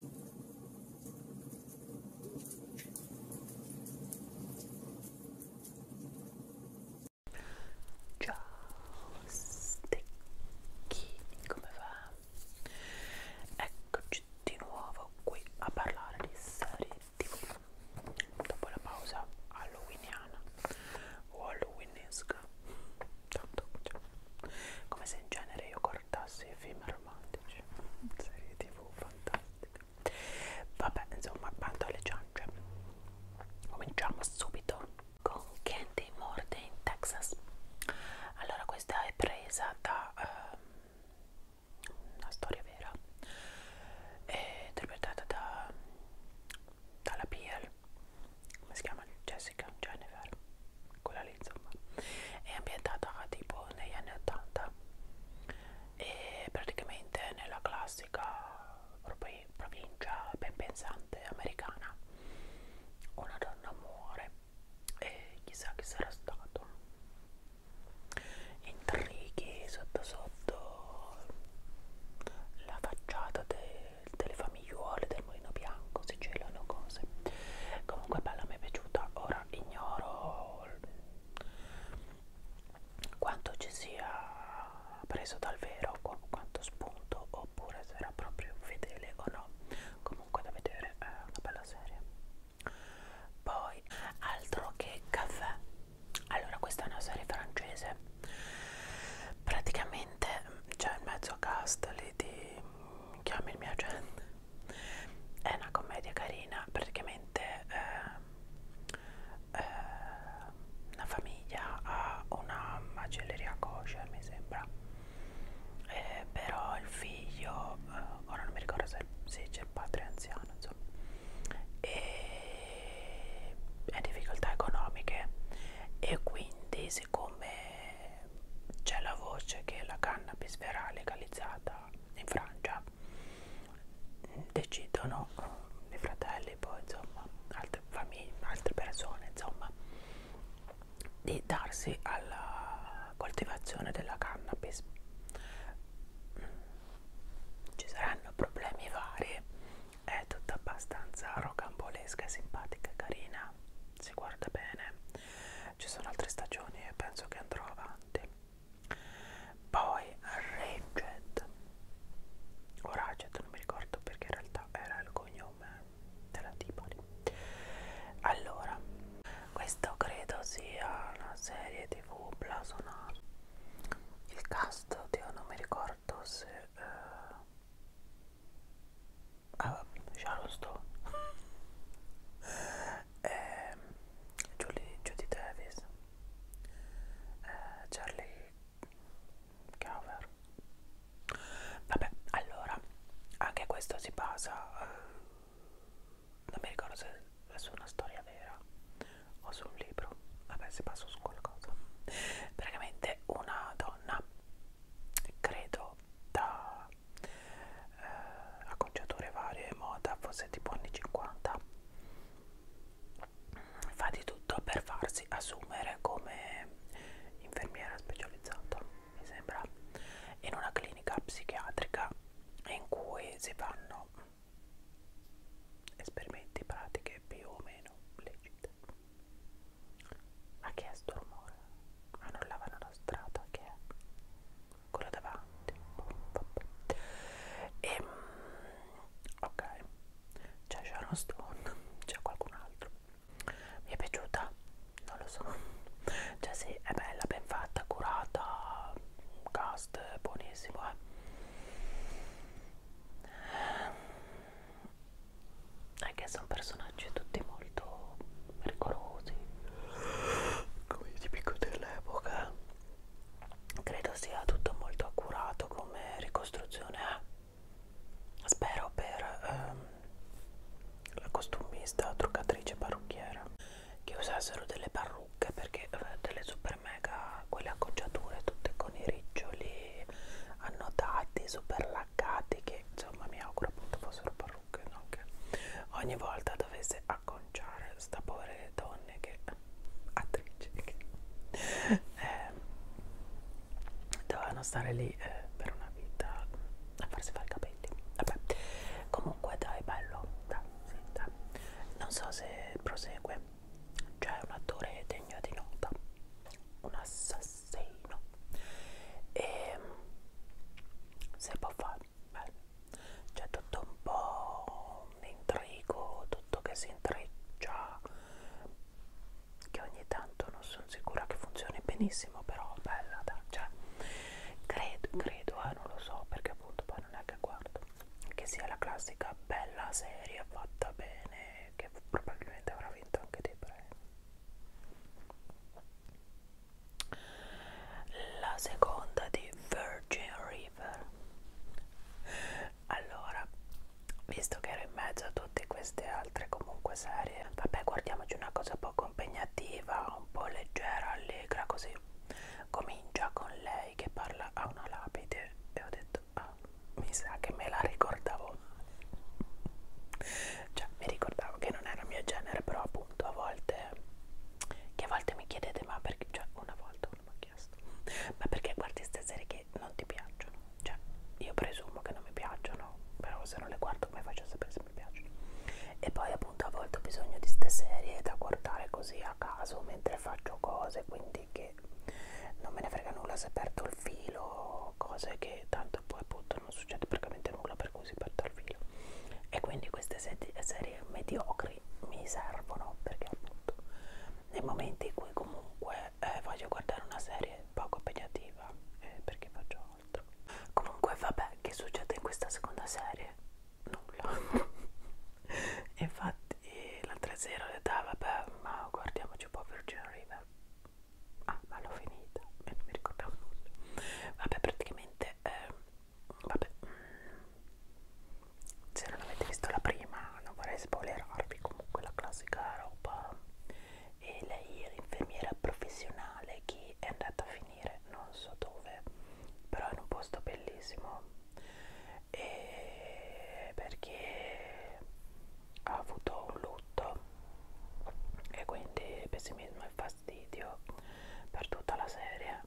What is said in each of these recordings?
Ciao stecchini, come va? Eccoci di nuovo qui a parlare di serie TV dopo la pausa halloweeniana o halloweenesca tanto cioè, come se in genere io guardassi i film drammatici serie tv fantastica vabbè insomma bando alle ciance cominciamo subito con Candy Morde in Texas allora questa è presa da um, una storia vera è interpretata da dalla Piel come si chiama Jessica Jennifer quella lì insomma è ambientata tipo negli anni 80 e praticamente nella classica provincia ben pensante americana una donna muore e chissà chi sarà stato intrighi sotto sotto la facciata de, delle famigliuole del mulino bianco si gelano cose comunque bella mi è piaciuta ora sia ignoro quanto ci sia preso dal vero quanto spunto oppure se era proprio fedele o no comunque da vedere è una bella serie poi altro che caffè allora questa è una serie francese praticamente c'è in mezzo a cast lì soliti mm, chiami il mio agente è una commedia carina praticamente eh, eh, una famiglia ha una macelleria kosher mi sembra eh, però il figlio eh, ora non mi ricordo se, se c'è il padre anziano insomma e ha difficoltà economiche e quindi siccome c'è la voce che la cannabis verrà legalizzata in Francia decidono eh, i fratelli poi insomma altre famiglie altre persone insomma di darsi alla coltivazione della cannabis ci saranno problemi vari è tutta abbastanza rocambolesca simpatica carina si guarda bene ci sono altre stagioni e penso che andrò avanti poi Raged o Raged non mi ricordo perché in realtà era il cognome della Tipoli allora questo credo sia una serie tv blasonata il cast oddio non mi ricordo se eh, ah, Sharon Stone eh, Julie, Judy Davis eh, Charlie Cover vabbè allora anche questo si basa eh, non mi ricordo se è su una storia vera o su un libro vabbè si basa su qualcosa praticamente una donna credo da eh, acconciature varie moda forse tipo anni 50 fa di tutto per farsi assumere come infermiera specializzata mi sembra in una clinica psichiatrica in cui si fanno esperimenti pratiche più o meno legite ha chiesto rumore annullavano la strada che è quella davanti e ehm, ok cioè, c'è Sharon Stone c'è qualcun altro mi è piaciuta non lo so cioè sì è bella ben fatta curata cast buonissimo eh ehm, è che sono personaggi tutti morti molto pericolosi come i tipico dell'epoca credo sia tutto molto accurato come ricostruzione spero per ehm, la costumista truccatrice parrucchiera che usassero delle parrucche perché eh, delle super mega quelle acconciature tutte con i riccioli annotati super laccati che insomma mi auguro appunto fossero Farruk Knock ogni volta dovesse acconciare sta povere donne che attrici che eh, dovevano stare lì eh, per una vita a farsi fare i capelli vabbè comunque dai bello dai, sì, dai. non so se prosegue c'è un attore degno di nota un assassino e ehm, se può fare bello. C'è tutto un po' un intrigo, tutto che si intreccia, che ogni tanto non sono sicura che funzioni benissimo, però bella, dai, cioè, credo, credo, eh, non lo so, perché appunto poi non è che guardo, che sia la classica bella serie fatta bene, che probabilmente avrà vinto anche dei premi la seconda di Virgin River allora visto che ero in mezzo a tutte queste altre comunque serie vabbè guardiamoci una cosa poco impegnativa un po' leggera allegra così comincia con lei che parla a una lapide e ho detto ah mi sa che me la ricordavo cioè mi ricordavo che non era il mio genere però appunto a volte che a volte mi chiedete ma perché cioè una volta uno mi ha chiesto ma perché guardi queste serie che non ti piacciono cioè io presumo che non mi piacciono però se non le guardo come faccio a sapere se mi piacciono e poi appunto a volte ho bisogno di queste serie da guardare così a caso mentre faccio cose quindi che non me ne frega nulla se perdo il filo cose che tanto questo poi appunto non succede praticamente nulla per cui si perde il filo e quindi queste serie mediocri mi servono perché appunto nei momenti in cui comunque eh, voglio guardare una serie poco impegnativa eh, perché faccio altro comunque vabbè che succede in questa seconda serie? nulla infatti l'altra sera ho detto ah, vabbè ma guardiamoci un po' Virgin River ah ma l'ho finita e non mi ricordavo nulla vabbè praticamente ovviamente eh, vabbè se non avete visto la prima non vorrei spoilerarvi comunque la classica roba e lei è l'infermiera professionale che è andata a finire non so dove però in un posto bellissimo e perché ha avuto un lutto e quindi pessimismo e fastidio per tutta la serie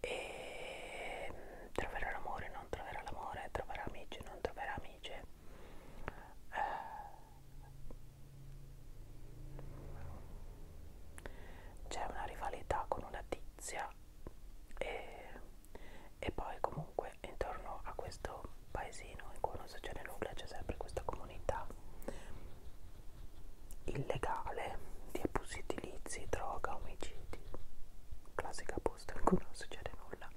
e mm, troverà l'amore, non troverà l'amore, troverà amici, non troverà amici. Eh. C'è una rivalità con una tizia e, e poi comunque intorno a questo paesino in cui non succede nulla c'è sempre questa comunità illegale di abusi edilizi, droga, omicidi, classica posta in cui non succede nulla.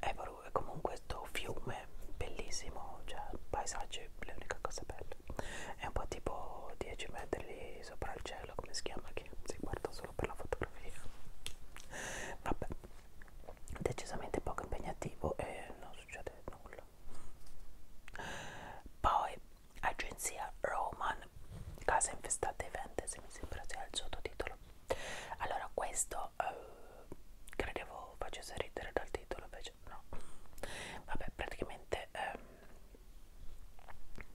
E comunque questo fiume bellissimo, cioè paesaggio è l'unica cosa bella. È un po' tipo 10 metri sopra il cielo, come si chiama, che si guarda solo per la fotografia. Vabbè, decisamente poco impegnativo e non succede nulla. Poi, agenzia Roman, casa infestata e vente, se mi sembra sia il sottotitolo. Allora, questo eh, credevo facesse ridere dal titolo, invece no. Vabbè, praticamente ehm,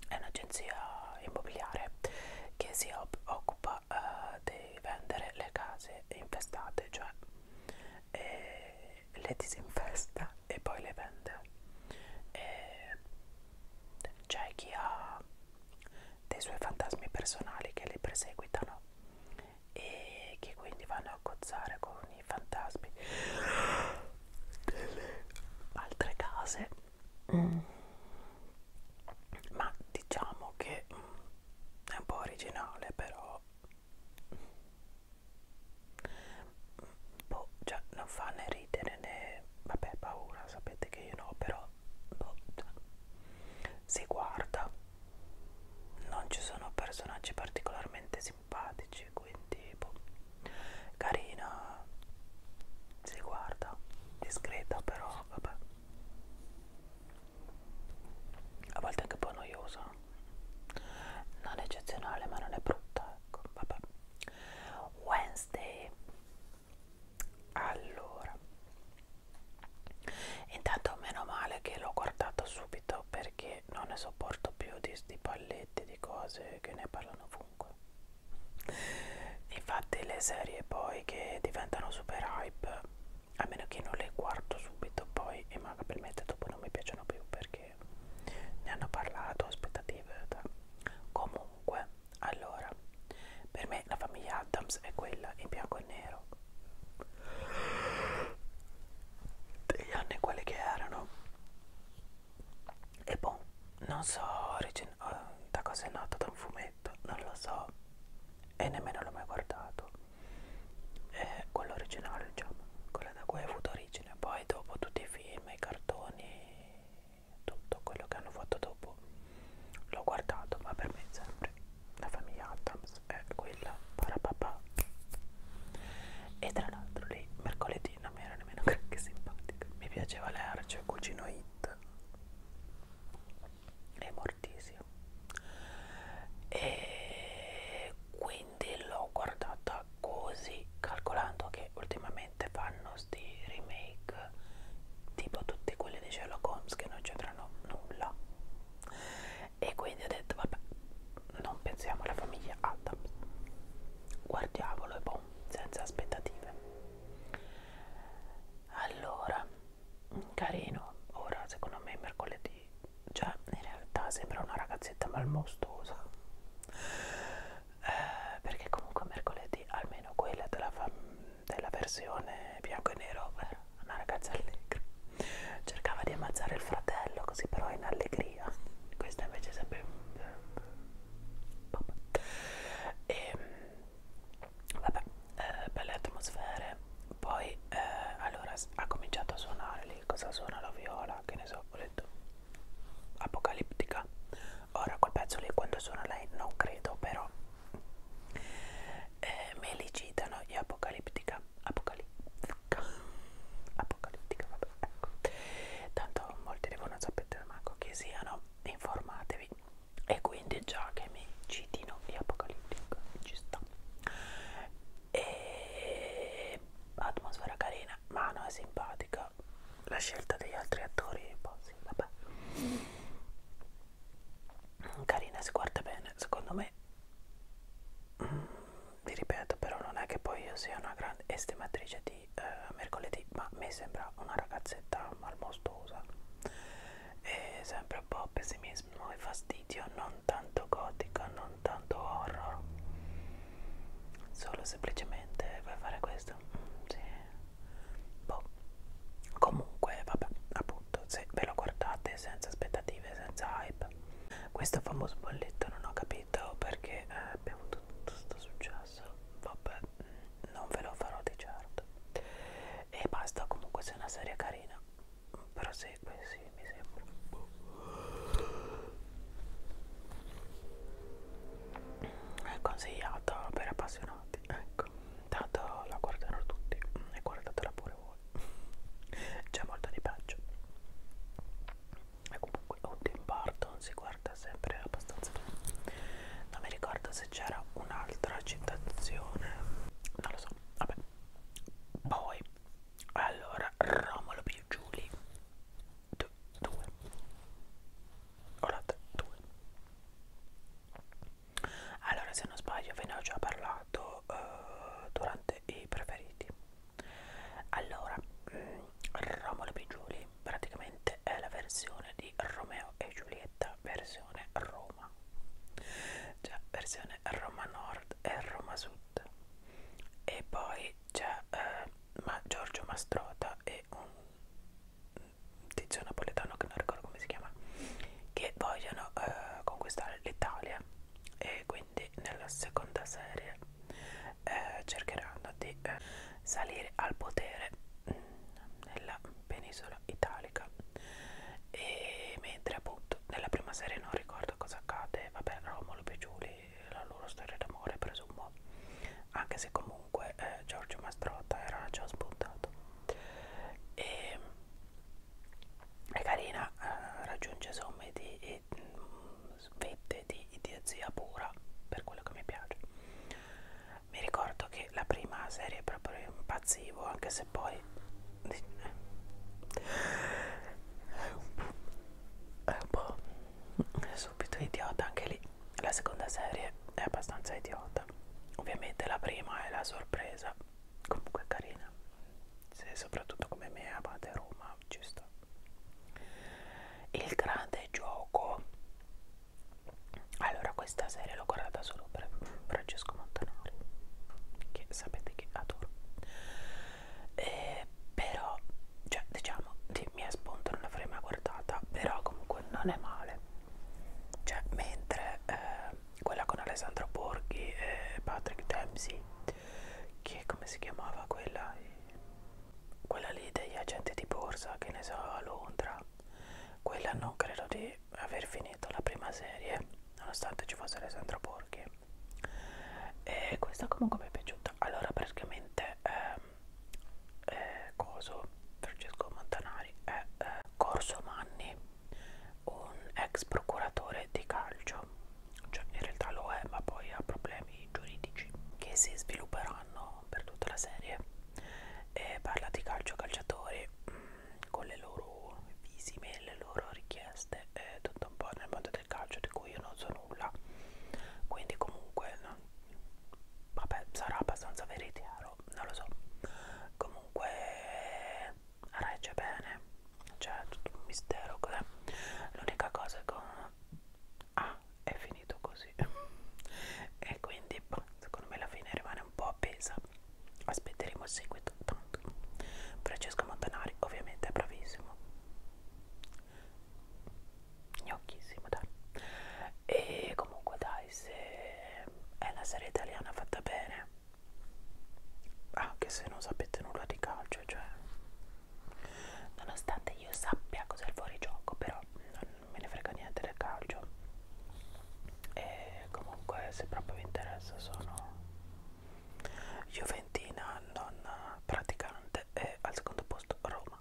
è un'agenzia immobiliare che si occupa eh, di vendere le case infestate, cioè eh, le, le disinfesta e poi le vende e c'è chi ha dei suoi fantasmi personali che li perseguitano e che quindi vanno a cozzare con i fantasmi delle altre case mm. ma diciamo che mm, è un po' originale però boh, cioè, non fa né ridere né vabbè paura sapete che io no però boh, si guarda non ci sono personaggi particolarmente simpatici quindi boh, carina si guarda discreta però vabbè a volte anche un po' noiosa non eccezionale ma non è brutta ecco vabbè Wednesday allora intanto meno male che l'ho guardato subito perché non ne sopporto più di, di palletti di cose che ne parlano ovunque infatti le serie poi che diventano super hype a meno che non le guardo subito poi e manca per mettere dopo non mi piacciono più perché ne hanno parlato, aspettative. Comunque, allora, per me la famiglia Adams è quella in bianco e nero degli anni quelli che erano e boh, non so oh, da cosa è nato da un fumetto, non lo so e nemmeno l'ho mai guardato eh, quello originale diciamo quella da cui ha avuto origine poi dopo tutti i film, i cartoni tutto quello che hanno fatto dopo l'ho guardato ma per me sempre la famiglia Adams è quella parapapà e tra l'altro lì mercoledì non mi era nemmeno che simpatica mi piaceva l'erce, cugino Hit e mortissimo e quindi l'ho guardata così calcolando che ultimamente fanno sti remake tipo tutti quelli di Sherlock Holmes che non c'entrano nulla e quindi ho detto vabbè non pensiamo alla famiglia Adams guardiamolo e boh senza aspettative allora carino ora secondo me mercoledì cioè in realtà sembra una ragazzetta malmostosa eh, perché comunque mercoledì almeno quella della, della versione bianco e nero era eh, una ragazza allegra cercava di ammazzare il fratello così però in allegria questa invece sempre e ehm, vabbè eh, belle atmosfere poi eh, allora ha cominciato a suonare lì cosa suona la viola che ne so ho detto apocalittica ora quel pezzo lì quando suona lei non credo però eh, me li citano gli apocalittica apocalittica apocalittica vabbè ecco tanto molti devono sapere manco chi siano informatevi e quindi già che mi citino gli apocalittica ci sta e eh, atmosfera carina Mano è simpatica la scelta degli altri attori poi boh, sì, vabbè mm, carina si guarda bene secondo me mm, vi ripeto però non è che poi io sia una grande estimatrice di eh, mercoledì ma mi sembra una ragazzetta malmostosa e sempre un po' pessimista e fastidio, non tanto gotico, non tanto horror. Solo semplicemente vuoi fare questo? Mm, sì. Boh. Comunque, vabbè, appunto, se ve lo guardate senza aspettative, senza hype. Questo famoso bolletto non ho capito perché eh, abbiamo tutto sto successo. Vabbè, mm, non ve lo farò di certo. E basta, comunque se è una serie carina prosegue, sì, mi sembra. È consigliata per appassionati, ecco. Tanto la guardano tutti e guardatela pure voi. C'è molto di peggio. E comunque o Tim Burton si guarda sempre abbastanza bene. Non mi ricordo se c'era un'altra citazione. Non lo so, vabbè. Poi allora Romolo più Giuli 2 Olata 2 allora se non sbaglio ve ne ho già parlato uh, durante i preferiti allora mm, Romolo più Giuli praticamente è la versione di Romeo e Giulietta versione Roma cioè versione Roma Nord e Roma Sud e poi c'è eh, ma Giorgio Mastrota e un tizio napoletano che non ricordo come si chiama che vogliono eh, conquistare l'Italia e quindi nella seconda serie eh, cercheranno di eh, salire al potere mh, mm, nella penisola italica e mentre appunto nella prima serie non ricordo cosa accade ovviamente vabbè Romolo e Giuli la loro storia d'amore presumo anche se comunque eh, Giorgio Mastrotta era già spuntato e è carina eh, raggiunge somme di e, mh, mm, vette di idiozia pura per quello che mi piace mi ricordo che la prima serie proprio impazzivo anche se poi è un po', è un po subito idiota anche lì la seconda serie è abbastanza idiota ovviamente la prima è la sorpresa comunque carina se soprattutto come me amate Roma ci sto il grande gioco allora questa serie l'ho guardata solo per Francesco Montanari che sapete che adoro eh, però cioè diciamo di mia spunta non avrei mai guardata però comunque non è male cioè mentre eh, quella con Alessandro Borghi e Patrick Dempsey che come si chiamava quella quella lì degli agenti di borsa che ne so a Londra quella non credo di aver finito la prima serie nonostante ci fosse Alessandro Borghi e questa comunque mi è piaciuta allora praticamente ehm, eh, coso Francesco Montanari è eh, Corso Manni un ex procuratore di calcio cioè in realtà lo è ma poi ha problemi giuridici che si svilupperanno per tutta la serie e parla di calcio calciatori mh, mm, con le loro visime, le loro richieste e tutto un po' nel mondo appassionata del calcio di cui io non so nulla quindi comunque no, vabbè sarà abbastanza veritiero non lo so comunque regge bene c'è cioè, tutto un mistero cos'è l'unica cosa che ah è finito così e quindi boh, secondo me la fine rimane un po' appesa aspetteremo il seguito Monk. Francesco Montanari ovviamente è bravissimo. Gnocchissimo, dai. E comunque dai, se è una serie italiana fatta bene, anche se non sapete nulla di calcio, cioè nonostante io sappia cos'è il fuorigioco, però non me ne frega niente del calcio. E comunque se proprio vi interessa sono Juventina non praticante e al secondo posto Roma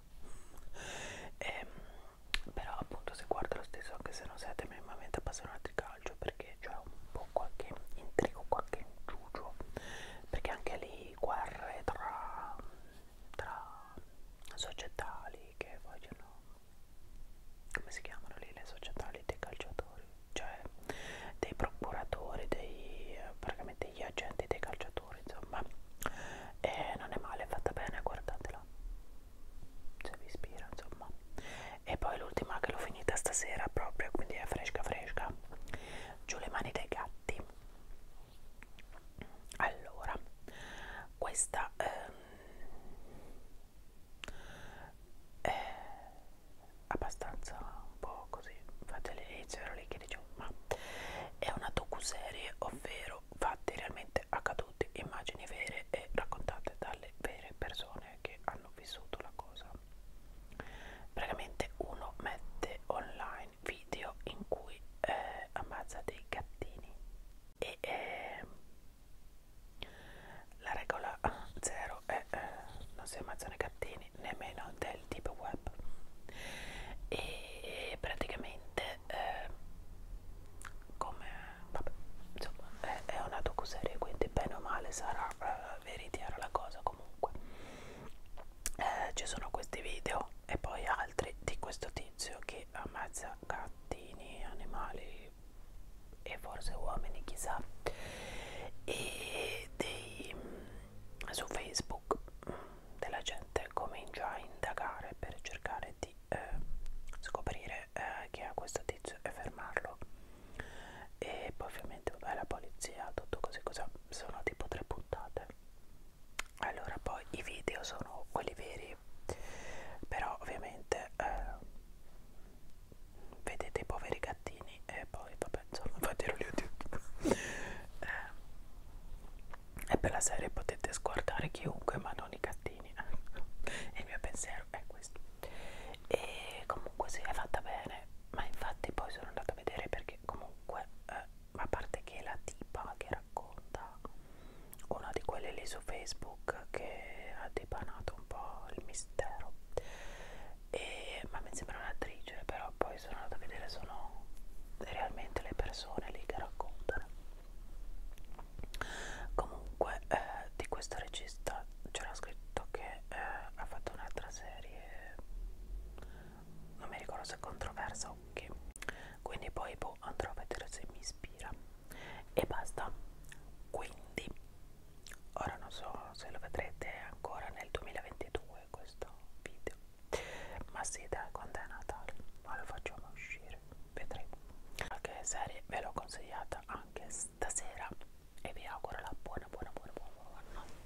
e, ehm, però appunto si guarda lo stesso anche se non siete minimamente appassionati di calcio perché c'è un po' qualche intrigo, qualche inciucio perché anche lì guerre tra, tra società lì che vogliono come si chiamano lì le società lì dei calciatori cioè dei procuratori, dei, praticamente degli agenti, dei calciatori, insomma. E non è male, è fatta bene, guardatela. Se vi ispira, insomma. E poi l'ultima che l'ho finita stasera proprio, quindi è fresca fresca. Giù le mani dei gatti. Allora, questa ehm, eh, abbastanza un po' così, fatele leggere lì che dicevo, ma è una docuserie, ovvero fatti realmente accaduti, immagini vere e raccontate dalle vere persone che hanno vissuto la cosa. Praticamente uno mette online video in cui eh, ammazza dei gattini e eh, la regola zero è eh, non si ammazzano i gattini quindi nemmeno del deep web e praticamente eh, come vabbè, insomma, è, è una docuserie quindi bene o male sarà eh, veritiera la cosa comunque eh, ci sono questi video e poi altri di questo tizio che ammazza gattini animali e forse uomini chissà e dei, mm, su Facebook mm, della gente comincia a indagare per cercare di eh, scoprire eh, chi è questo tizio e fermarlo e poi ovviamente vabbè, la polizia tutto così cosa sono tipo tre puntate allora poi i video sono quelli veri però ovviamente eh, vedete i poveri gattini e poi vabbè insomma fatelo youtube eh, e per la serie potete sguardare chiunque ma non i gattini ecco. il mio pensiero è questo e comunque si sì, è fatta bene ma infatti poi sono andata a vedere perché comunque eh, a parte che la tipa che racconta una di quelle lì su facebook che ha dipanato un po' il mistero e, ma mi sembra un'attrice però poi sono andata a vedere sono realmente le persone lì che raccontano comunque eh, di questo regista c'era scritto che eh, ha fatto un'altra serie non mi ricordo se è controversa o che quindi poi boh, andrò a vedere se mi ispira e basta quindi ora non so se lo vedrete ancora nel 2022 questo video ma sì da quando è Natale ma lo facciamo uscire vedremo qualche serie ve l'ho consigliata anche stasera e vi auguro la buona buona buona buona, buona notte